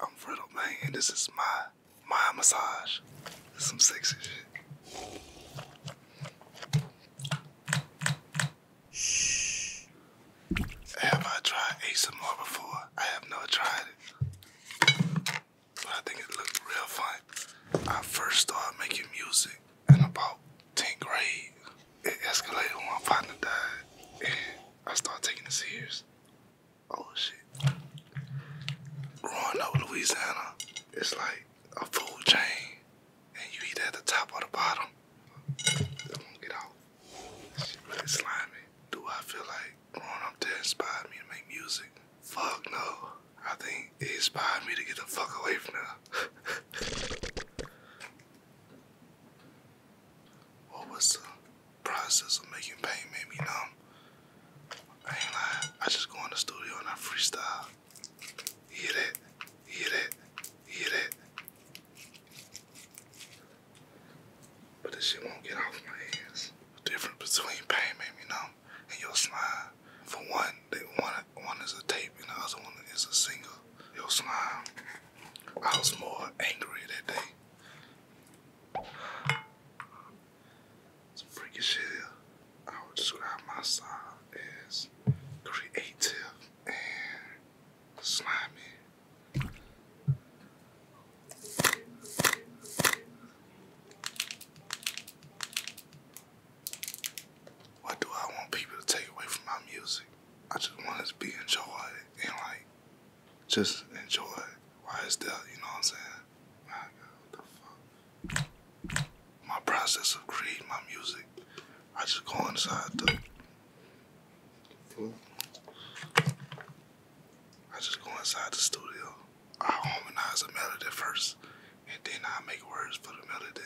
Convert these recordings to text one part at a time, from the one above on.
I'm Riddle Man, this is my my massage. This some sexy shit. Have I tried ASMR before? I have never tried it, but I think it looked real fun. I first started making music in about 10th grade. It escalated when my partner died, and I started taking it serious. Oh shit. Growing up in Louisiana, it's like a food chain. And you eat at the top or the bottom. It won't get out. Shit really slimy. Do I feel like growing up there inspired me to make music? Fuck no. I think it inspired me to get the fuck away from there. what was the process of making pain made me numb. I ain't lying. I just go in the studio and I freestyle. You hear that? You hear that? hear that? But this shit won't get off my hands. The difference between pain made me numb and your smile, For one, they one one is a tape and the other one is a single. It was not. I was more angry that day. Some freaky shit. I would describe my style as creative and slimy. What do I want people to take away from my music? I just want it to be enjoyed and like just enjoy Why is that? you know what I'm saying? My process of creating my music, I just go inside the I just go inside the studio. I harmonize a melody first, and then i make words for the melody.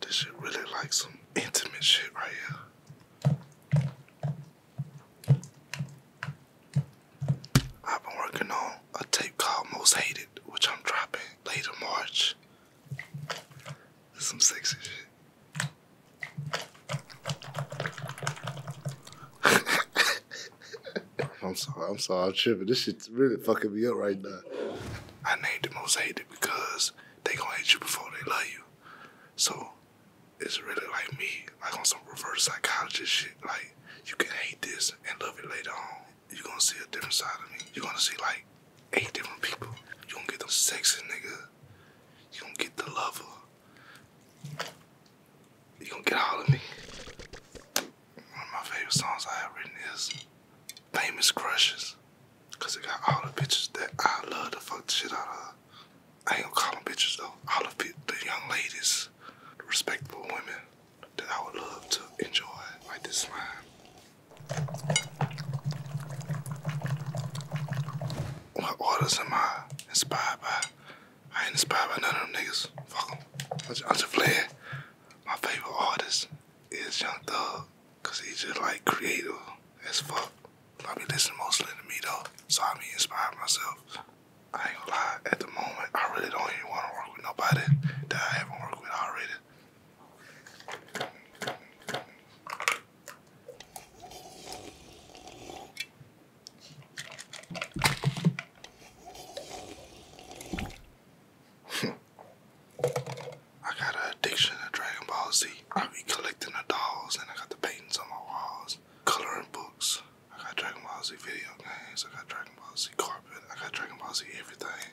This shit really like some intimate shit right here. I've been working on a tape called Most Hated, which I'm dropping later March. some sexy shit. I'm sorry, I'm sorry, I'm tripping. This shit's really fucking me up right now. I named it most hated because they gonna hate you before they love you. So it's really like me, like on some reverse psychologist shit. Like you can hate this and love it later on. You're gonna see a different side of me. You're gonna see like eight different people. You're going get the sexy nigga. You're going get the lover. You gonna get all of me? One of my favorite songs I have written is Famous Crushes. Cause it got all the bitches that I love to fuck the shit out of. I ain't gonna call them bitches though. All of the, the young ladies, the respectable women that I would love to enjoy, like this slime. What artists am I inspired by? I ain't inspired by none of them niggas. Fuck them. I'm just playing. My favorite artist is Young Thug, cause he's just like creative as fuck. I be listening mostly to me though, so I be inspired myself. I ain't gonna lie, at the moment, I really don't even wanna work with nobody that I haven't worked with already. I got an addiction to Dragon Ball Z. I be collecting the dolls and I got the paintings on my walls, coloring books. I got Dragon Ball Z video games. I got Dragon Ball Z carpet. I got Dragon Ball Z everything.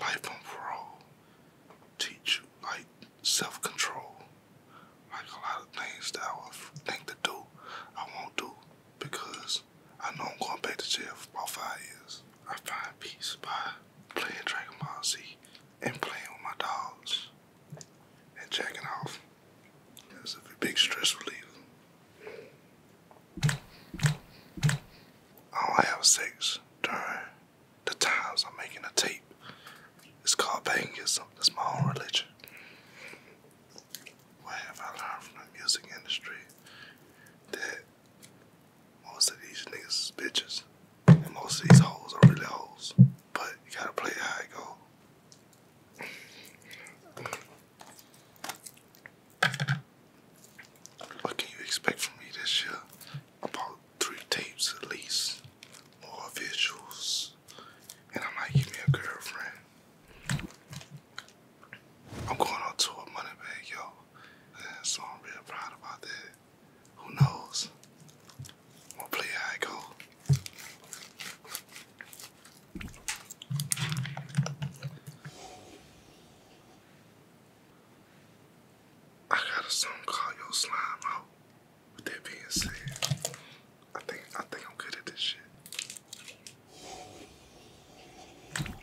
Life on parole teach you like self-control. Like a lot of things that I would think to do, I won't do because I know I'm going back to jail for about five years. I find peace by playing Dragon Ball Z and playing with my dogs and jacking off. that's a big stress reliever. I don't have sex during the times I'm making a tape. It's called Bangism. That's my own religion. What have I learned from the music industry? That most of these niggas bitches. And most of these hoes are really hoes. But you gotta play how it go. What can you expect from me this year? About three tapes at least. More visuals. And I might give me a girlfriend. I'm going on tour money bag, yo. And so I'm real proud about that. Who knows? We'll play I go. I got a song called Yo Slime Out. that being said, I think I think I'm good at this shit.